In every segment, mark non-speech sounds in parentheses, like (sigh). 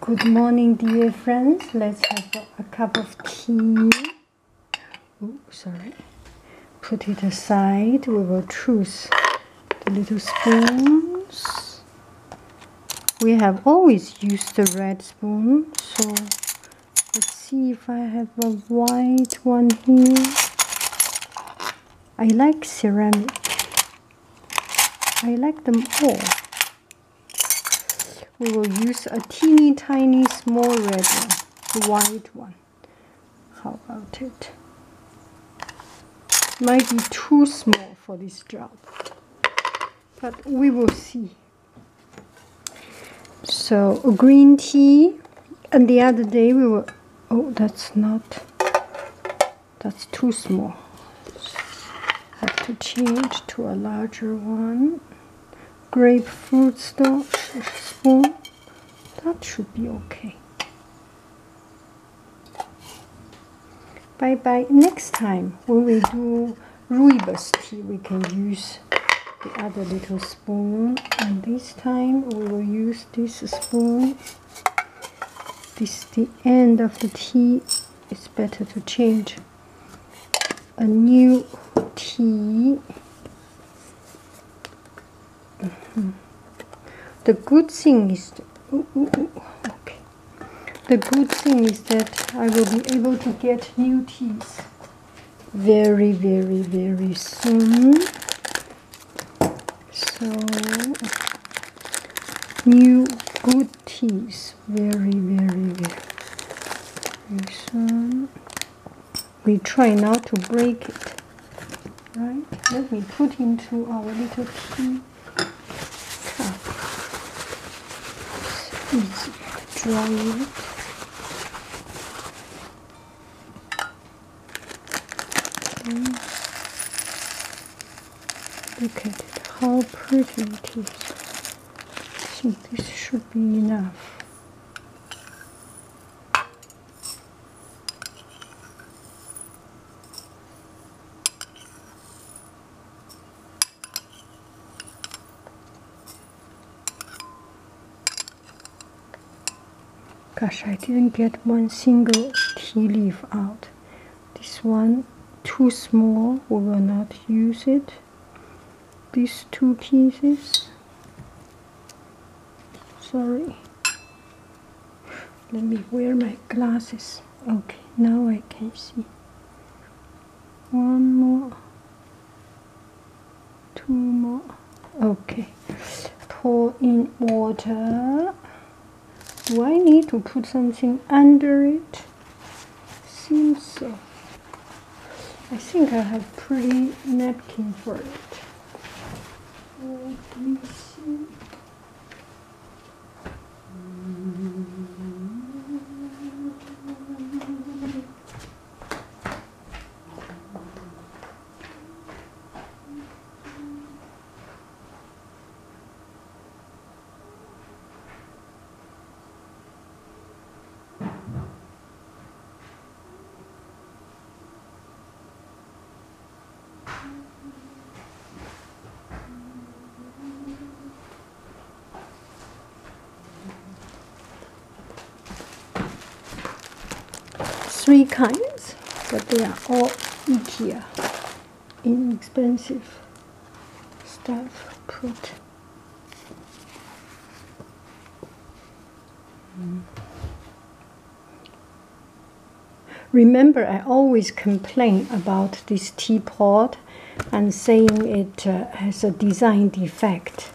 Good morning, dear friends. Let's have a cup of tea. Oh, sorry. Put it aside. We will choose the little spoons. We have always used the red spoon, so let's see if I have a white one here. I like ceramic. I like them all. We will use a teeny tiny small red one, white one. How about it? Might be too small for this job, but we will see. So green tea, and the other day we were, oh that's not, that's too small have to change to a larger one grapefruit spoon that should be okay bye bye next time when we do rooibos tea we can use the other little spoon and this time we will use this spoon this the end of the T it's better to change a new T mm-hmm. the good thing is the good thing is that I will be able to get new T's very very very soon so new good teas very very very Listen. we try not to break it right let me put into our little tea cup Let's dry it Look at it, how pretty it is. So this should be enough. Gosh, I didn't get one single tea leaf out this one too small we will not use it these two pieces sorry let me wear my glasses okay now I can see one more two more okay pour in water do I need to put something under it seems so I think I have pretty napkin for it let me see three kinds, but they are all IKEA inexpensive stuff put Remember, I always complain about this teapot and saying it uh, has a design defect.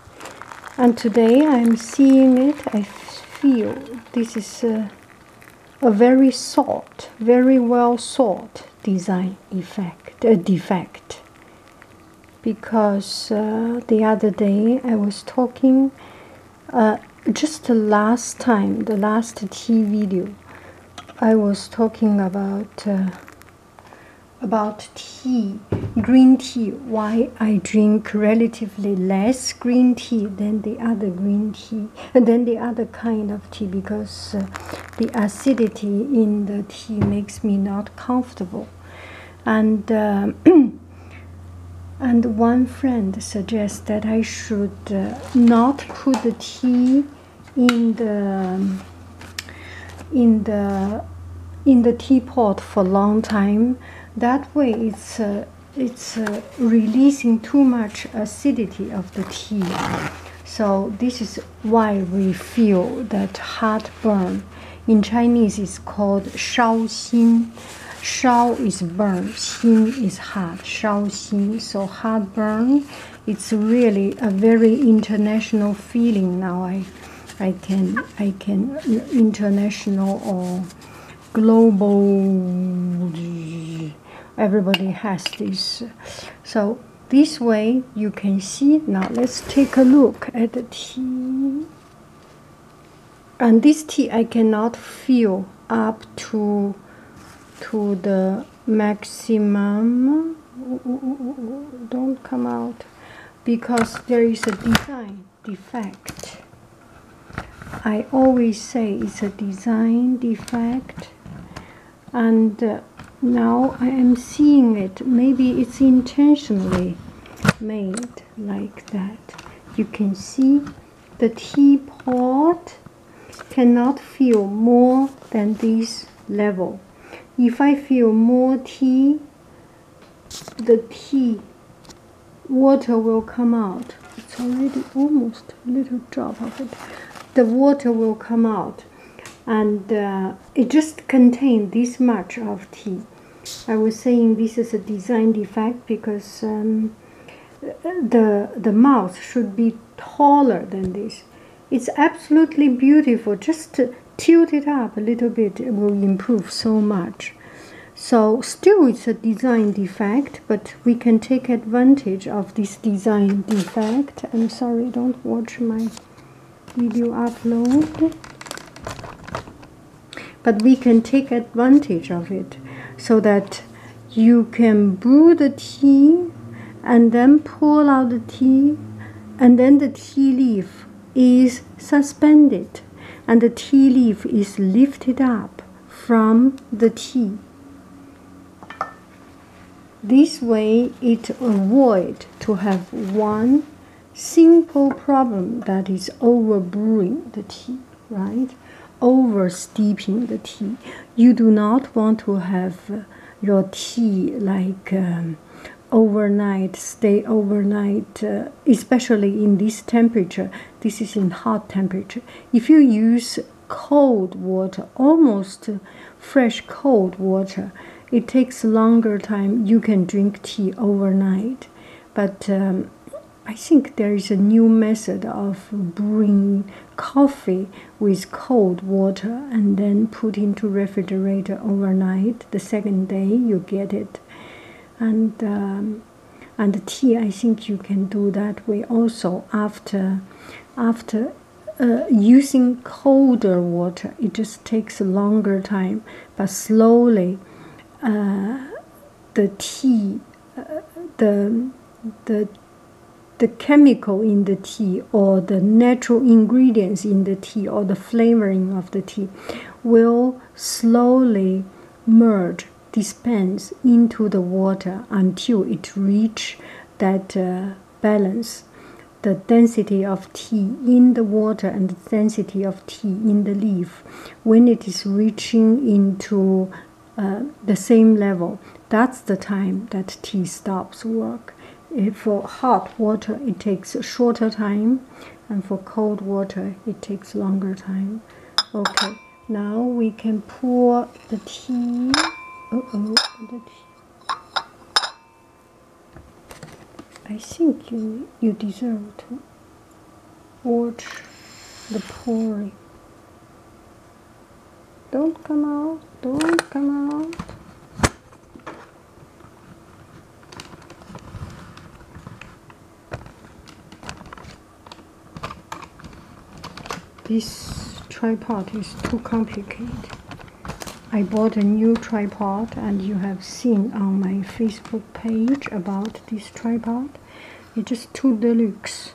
And today I'm seeing it, I feel this is uh, a very sought, very well sought design effect, a uh, defect. Because uh, the other day I was talking, uh, just the last time, the last tea video, I was talking about about tea, green tea, why I drink relatively less green tea than the other green and then the other kind of tea because uh, the acidity in the tea makes me not comfortable and uh, (clears throat) and one friend suggests that I should uh, not put the tea in the um, in the in the teapot for a long time that way it's it's uh, releasing too much acidity of the tea. So this is why we feel that heartburn. In Chinese, it's called shao xin. Shao is burn, xin is heart. Shao xin. So heartburn. It's really a very international feeling now. I, I can, I can international or global everybody has this so this way you can see now let's take a look at the tea and this tea i cannot fill up to to the maximum don't come out because there is a design defect I always say it's a design defect and uh, now I am seeing it maybe it's intentionally made like that you can see the teapot cannot feel more than this level if I feel more tea the tea water will come out. It's already almost a little drop of it. The water will come out and uh, it just contained this much of tea. I was saying this is a design defect because um, the, the mouth should be taller than this. It's absolutely beautiful. Just tilt it up a little bit, it will improve so much. So still it's a design defect, but we can take advantage of this design defect. I'm sorry, don't watch my video upload. But we can take advantage of it so that you can brew the tea and then pour out the tea and then the tea leaf is suspended and the tea leaf is lifted up from the tea. This way it avoid to have one simple problem that is over brewing the tea, right? Over steeping the tea. You do not want to have uh, your tea like um, overnight, stay overnight, uh, especially in this temperature. This is in hot temperature. If you use cold water, almost fresh cold water, it takes longer time. You can drink tea overnight, but um, I think there is a new method of brewing coffee with cold water and then put into refrigerator overnight. The second day you get it, and um, and the tea i think you can do that way also after after uh, using colder water it just takes longer time but slowly uh, the tea uh, the the the chemical in the tea or the natural ingredients in the tea or the flavoring of the tea will slowly merge dispense into the water until it reach that uh, balance the density of tea in the water and the density of tea in the leaf when it is reaching into uh, the same level that's the time that tea stops work uh, for hot water it takes shorter time and for cold water it takes longer time okay now we can pour the tea. Uh oh, the tea. I think you you deserve to watch the pouring. Don't come out, don't come out. This tripod is too complicated. I bought a new tripod and you have seen on my Facebook page about this tripod. It's too deluxe.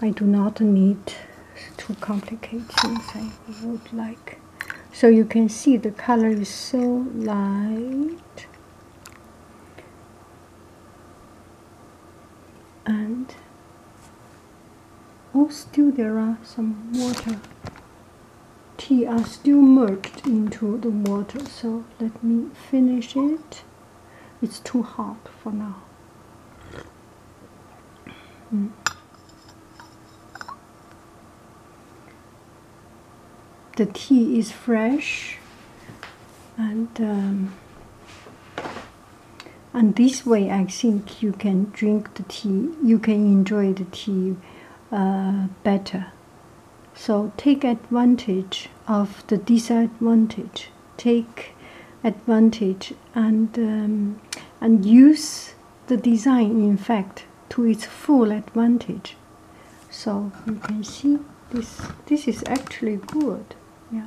I do not need too complicated things I would like. So you can see the color is so light and oh still there are some water tea are still merged into the water so let me finish it it's too hot for now hmm the tea is fresh and um, and this way I think you can drink the tea you can enjoy the tea uh, better so take advantage of the disadvantage take advantage and um, and use the design in fact to its full advantage so you can see this this is actually good yeah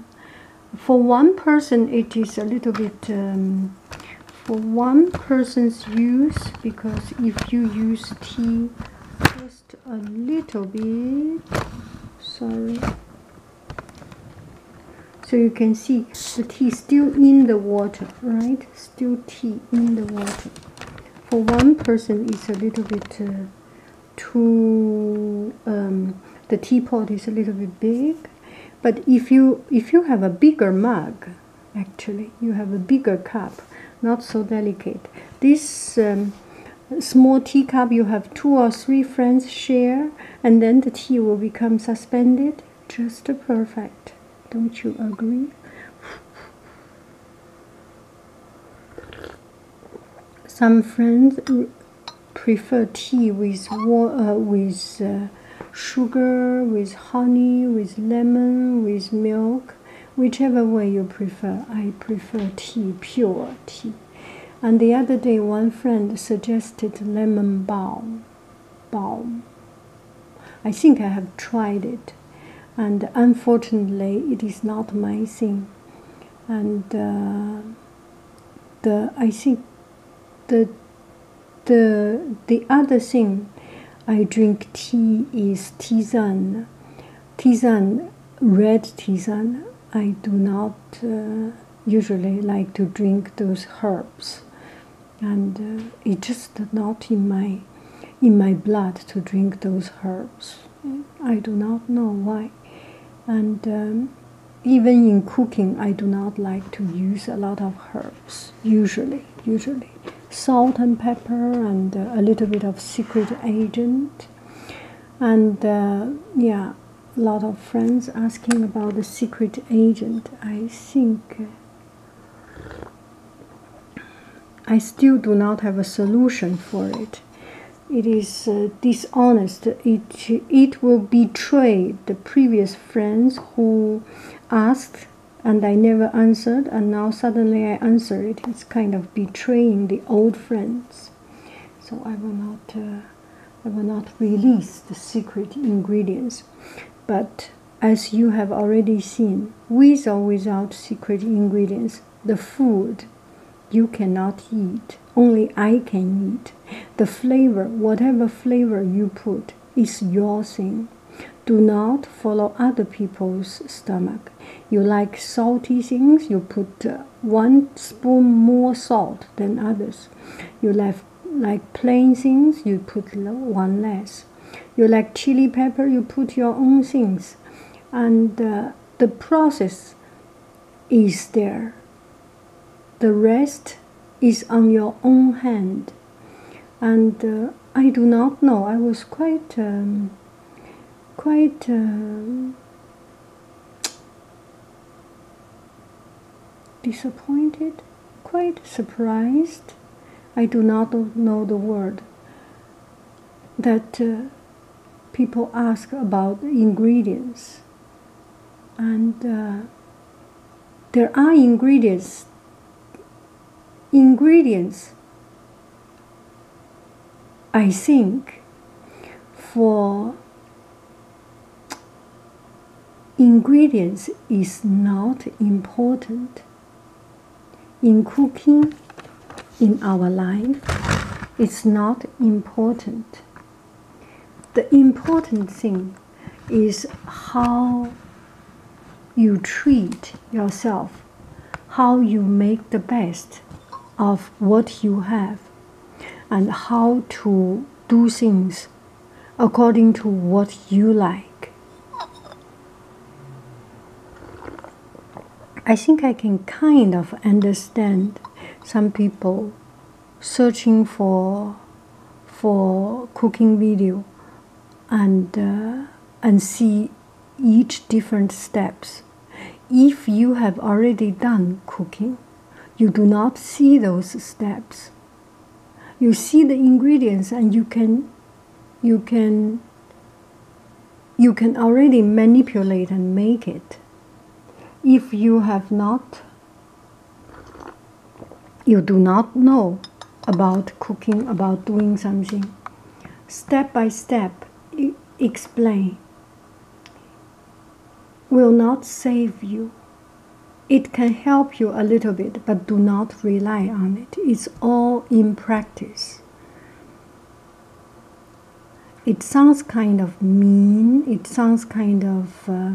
for one person it is a little bit um, for one person's use because if you use tea just a little bit sorry so you can see the tea still in the water right still tea in the water for one person it's a little bit uh, to um, the teapot is a little bit big but if you if you have a bigger mug actually you have a bigger cup not so delicate this um, small teacup you have two or three friends share and then the tea will become suspended just perfect don't you agree some friends prefer tea with uh, with uh, sugar, with honey, with lemon, with milk, whichever way you prefer. I prefer tea, pure tea. And the other day, one friend suggested lemon balm. Balm. I think I have tried it. And unfortunately, it is not my thing. And uh, I think the the the other thing I drink tea is tisane, tisane red tisane. I do not uh, usually like to drink those herbs, and uh, it's just not in my in my blood to drink those herbs. I do not know why. And um, even in cooking, I do not like to use a lot of herbs. Usually, usually, salt and pepper and uh, a little bit of secret agent. And uh, yeah, a lot of friends asking about the secret agent. I think uh, I still do not have a solution for it. It is uh, dishonest. It, it will betray the previous friends who asked and I never answered, and now suddenly I answer it. It's kind of betraying the old friends. So I will not, uh, I will not release the secret ingredients. But as you have already seen, with or without secret ingredients, the food you cannot eat, only I can eat. The flavor, whatever flavor you put, is your thing. Do not follow other people's stomach. You like salty things, you put uh, one spoon more salt than others. You like, like plain things, you put one less. You like chili pepper, you put your own things and uh, the process is there. The rest is on your own hand. And uh, I do not know. I was quite, um, quite. Um, disappointed, quite surprised, I do not know the word, that uh, people ask about ingredients, and uh, there are ingredients. Ingredients, I think, for ingredients is not important in cooking in our life it's not important the important thing is how you treat yourself how you make the best of what you have and how to do things according to what you like I think I can kind of understand some people searching for for cooking video and uh, and see each different steps if you have already done cooking you do not see those steps you see the ingredients and you can you can you can already manipulate and make it if you have not you do not know about cooking about doing something step by step explain will not save you it can help you a little bit but do not rely on it it's all in practice it sounds kind of mean, it sounds kind of, uh,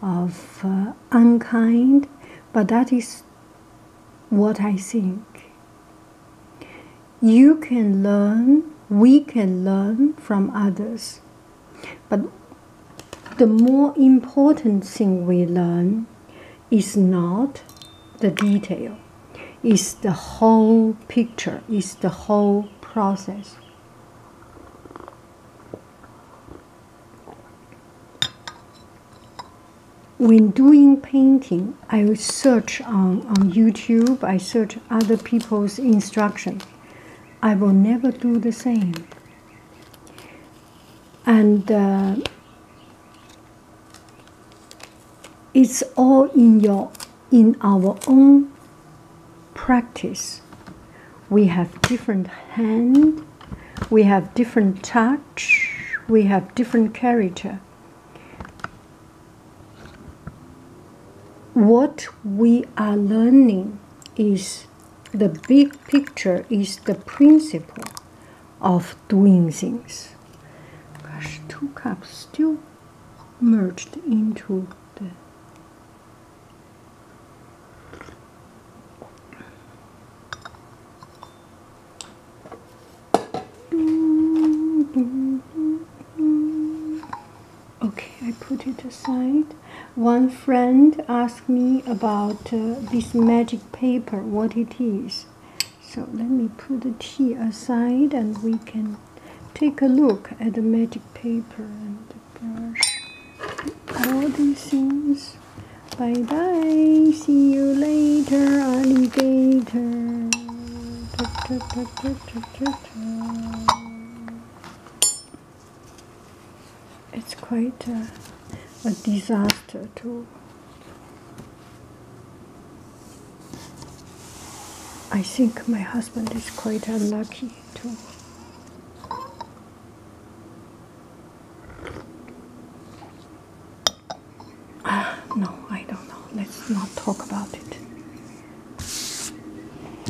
of uh, unkind, but that is what I think. You can learn, we can learn from others, but the more important thing we learn is not the detail, it's the whole picture, it's the whole process. When doing painting, I will search on, on YouTube, I search other people's instruction. I will never do the same. And uh, it's all in your in our own practice. We have different hand, we have different touch, we have different character. What we are learning is the big picture is the principle of doing things. Gosh, two cups still merged into the Okay, I put it aside. One friend asked me about uh, this magic paper, what it is. So let me put the tea aside and we can take a look at the magic paper and the brush. All these things. Bye bye. See you later, alligator. it's quite a, disaster too. I think my husband is quite unlucky too. Uh, no, I don't know. Let's not talk about it.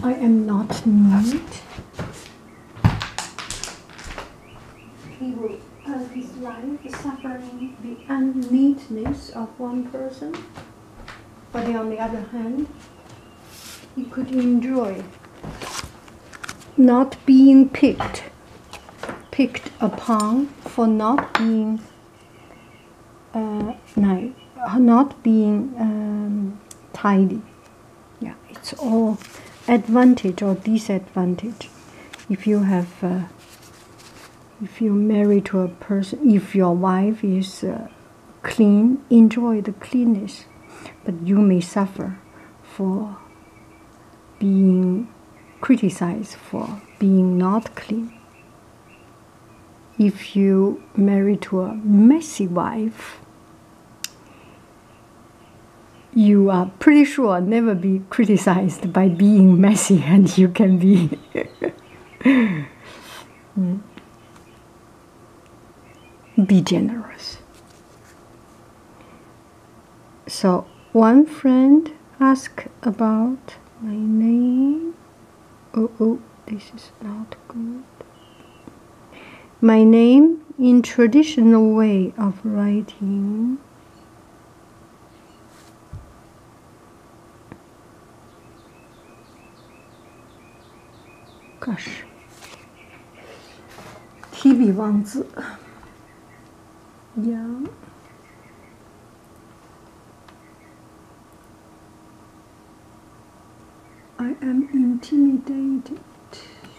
I am not neat. He will uh, dislike the suffering, the unneedness of one person, but on the other hand, he could enjoy not being picked, picked upon for not being uh, nice, not being um, tidy. Yeah, it's all advantage or disadvantage if you have. Uh, if you're married to a person, if your wife is uh, clean, enjoy the cleanness, but you may suffer for being criticized for being not clean. If you marry to a messy wife, you are pretty sure never be criticized by being messy (laughs) and you can be (laughs) be generous so one friend asked about my name oh oh this is not good my name in traditional way of writing Gosh. TV 王子。Yeah. I am intimidated.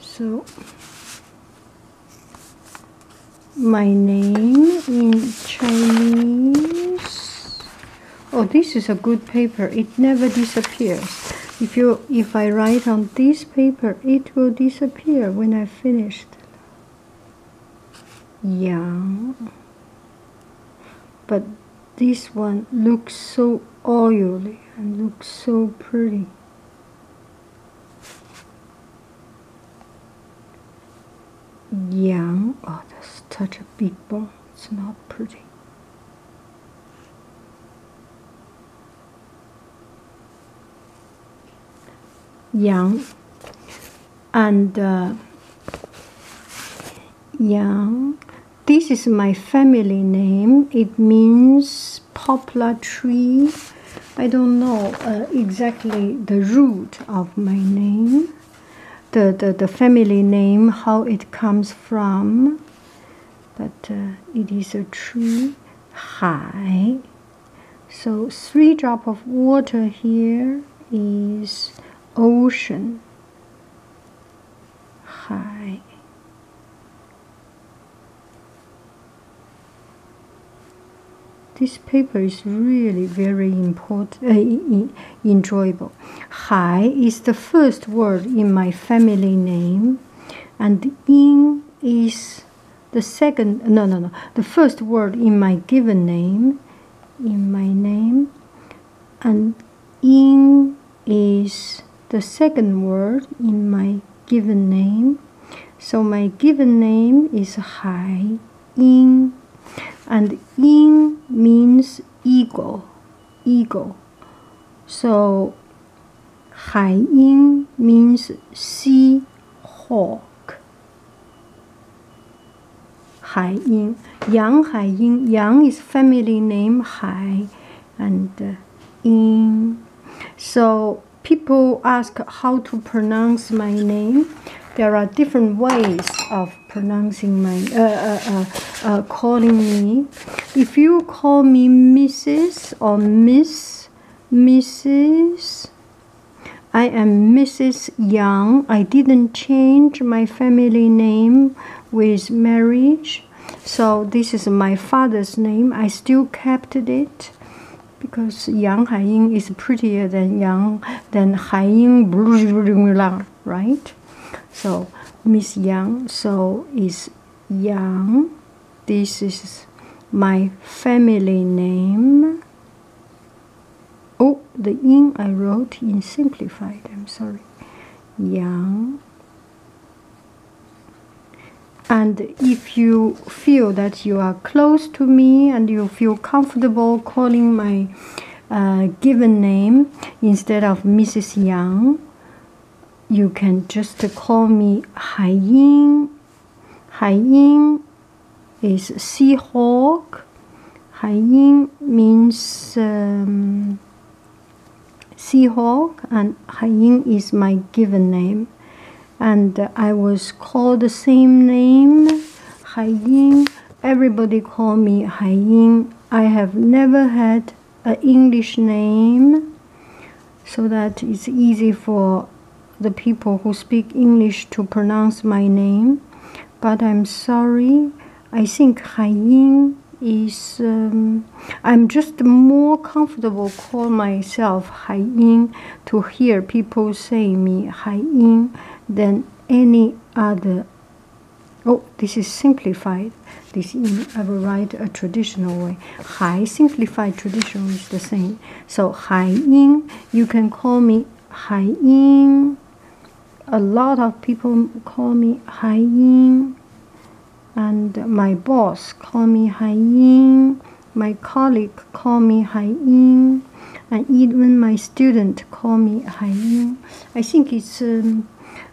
so my name in Chinese oh this is a good paper it never disappears if you if I write on this paper it will disappear when I finished yeah but this one looks so oily and looks so pretty Young. Oh, that's such a big It's not pretty. Young and uh, young this is my family name. It means poplar tree. I don't know uh, exactly the root of my name, the, the, the family name, how it comes from, but uh, it is a tree. Hai. So three drop of water here is ocean. Hai. This paper is really very important, uh, enjoyable. Hai is the first word in my family name, and Ying is the second. No, no, no. The first word in my given name, in my name, and Ying is the second word in my given name. So my given name is Hai Ying, and Ying means eagle, eagle. So Hai Ying means sea hawk. Hai Ying, Yang Hai Ying. Yang is family name Hai and uh, in. So people ask how to pronounce my name. There are different ways of pronouncing my uh, uh, calling me. If you call me Mrs. or Miss, Mrs. I am Mrs. Yang. I didn't change my family name with marriage. So this is my father's name. I still kept it because Yang Haiying is prettier than Yang than Haiying right? So Miss Yang so is Yang. This is my family name. Oh, the yin I wrote in simplified. I'm sorry. Yang and if you feel that you are close to me and you feel comfortable calling my uh, given name instead of Mrs. Yang, you can just call me Hai Ying. Hai Ying is seahawk. Hai Ying means um, Seahawk and Hayin is my given name. And uh, I was called the same name, Hayin. Everybody called me Hayin. I have never had an English name so that it's easy for the people who speak English to pronounce my name. But I'm sorry. I think Haiying is um, I'm just more comfortable call myself Hai Yin to hear people say me Hai Yin than any other. Oh, this is simplified. This I will write a traditional way. Hai simplified traditional is the same. So Hai Yin, you can call me Hai Yin. A lot of people call me Hai Yin and my boss called me Haiyin, my colleague called me Haiyin, and even my student called me Haiyin. I think it's um,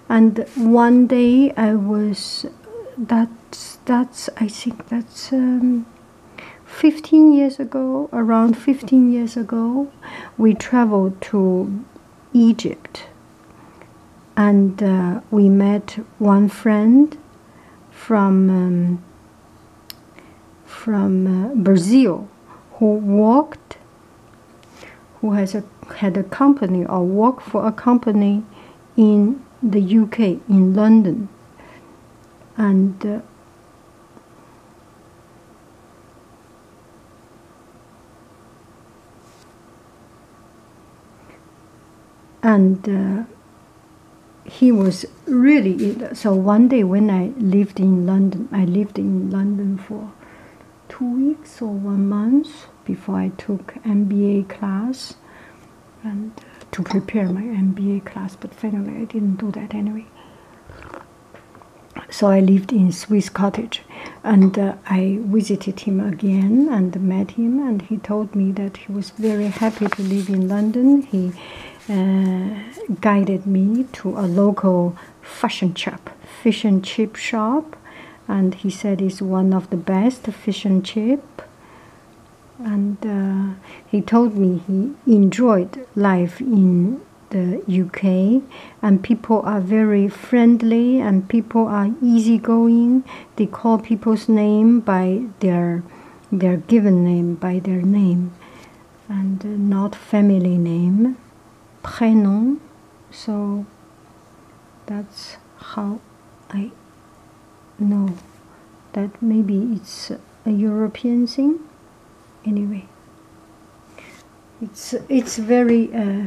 and one day I was that's that's I think that's um, 15 years ago around 15 years ago we traveled to Egypt. And uh, we met one friend from, um, from uh, Brazil who walked, who has a, had a company or worked for a company in the UK, in London. And uh, and uh, he was really so one day when i lived in london i lived in london for two weeks or one month before i took mba class and uh, to prepare my mba class but finally i didn't do that anyway so i lived in swiss cottage and uh, I visited him again and met him, and he told me that he was very happy to live in London. He uh, guided me to a local fashion shop, fish and chip shop, and he said it's one of the best fish and chip. And uh, he told me he enjoyed life in the UK and people are very friendly and people are easygoing. They call people's name by their their given name, by their name, and uh, not family name, prénom. So that's how I know that maybe it's a European thing. Anyway, it's it's very uh,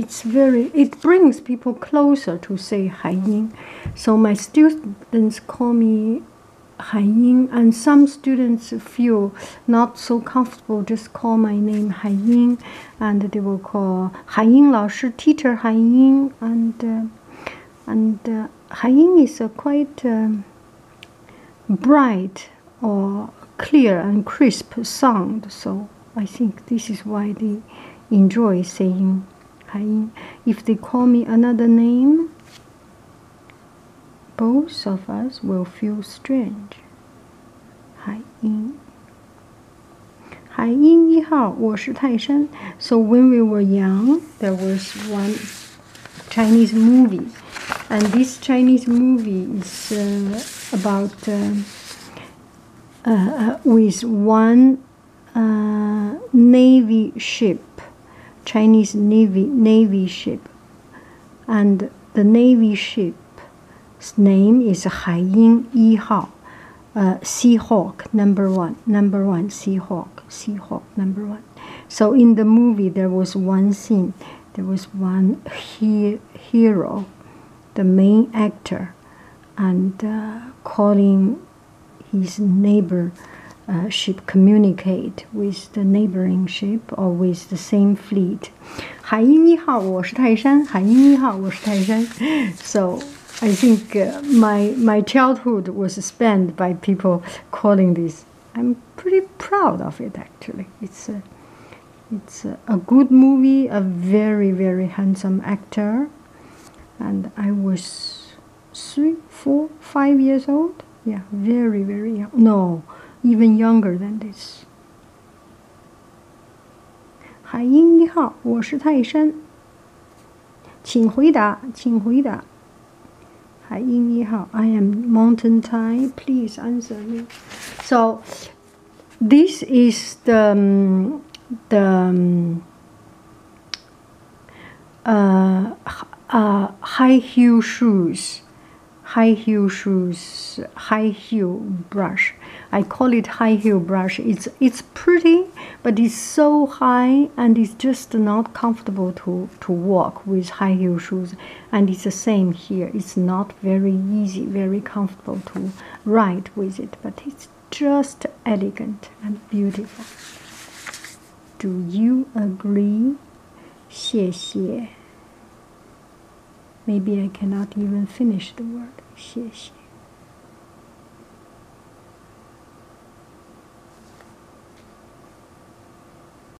it's very it brings people closer to say Hai Ying. So my students call me Hai Ying, and some students feel not so comfortable just call my name Hai Ying, and they will call Hai Ying 老师 teacher Hai Ying, and uh, and uh, Ying is a quite um, bright or clear and crisp sound. So I think this is why they enjoy saying Haiyin. If they call me another name, both of us will feel strange. Haiyin. Haiyin So when we were young, there was one Chinese movie and this Chinese movie is uh, about uh, uh, with one navy ship, Chinese navy navy ship, and the navy ship's name is Haiying Sea Hawk number one, number one, Sea Hawk, Sea Hawk number one. So in the movie there was one scene there was one hero, the main actor, and uh, calling his neighbor uh, ship communicate with the neighboring ship or with the same fleet. 海鹰一号，我是泰山。海鹰一号，我是泰山。So I think uh, my my childhood was spent by people calling this I'm pretty proud of it actually. It's a, it's a, good movie, a very very handsome actor, and I was three, four, five years old. Yeah, very very young. No, even younger than this. 海鹰一号，我是泰山，请回答，请回答。海英一号. I am mountain Thai. Please answer me. So this is the um, the um, uh, uh, high heel shoes, high heel shoes, high heel brush. I call it high heel brush. It's it's pretty, but it's so high and it's just not comfortable to to, walk with high heel shoes. And it's the same here. It's not very easy, very comfortable to ride with it, but it's just elegant and beautiful. Do you agree? 谢谢. Maybe I cannot even finish the word. 谢谢.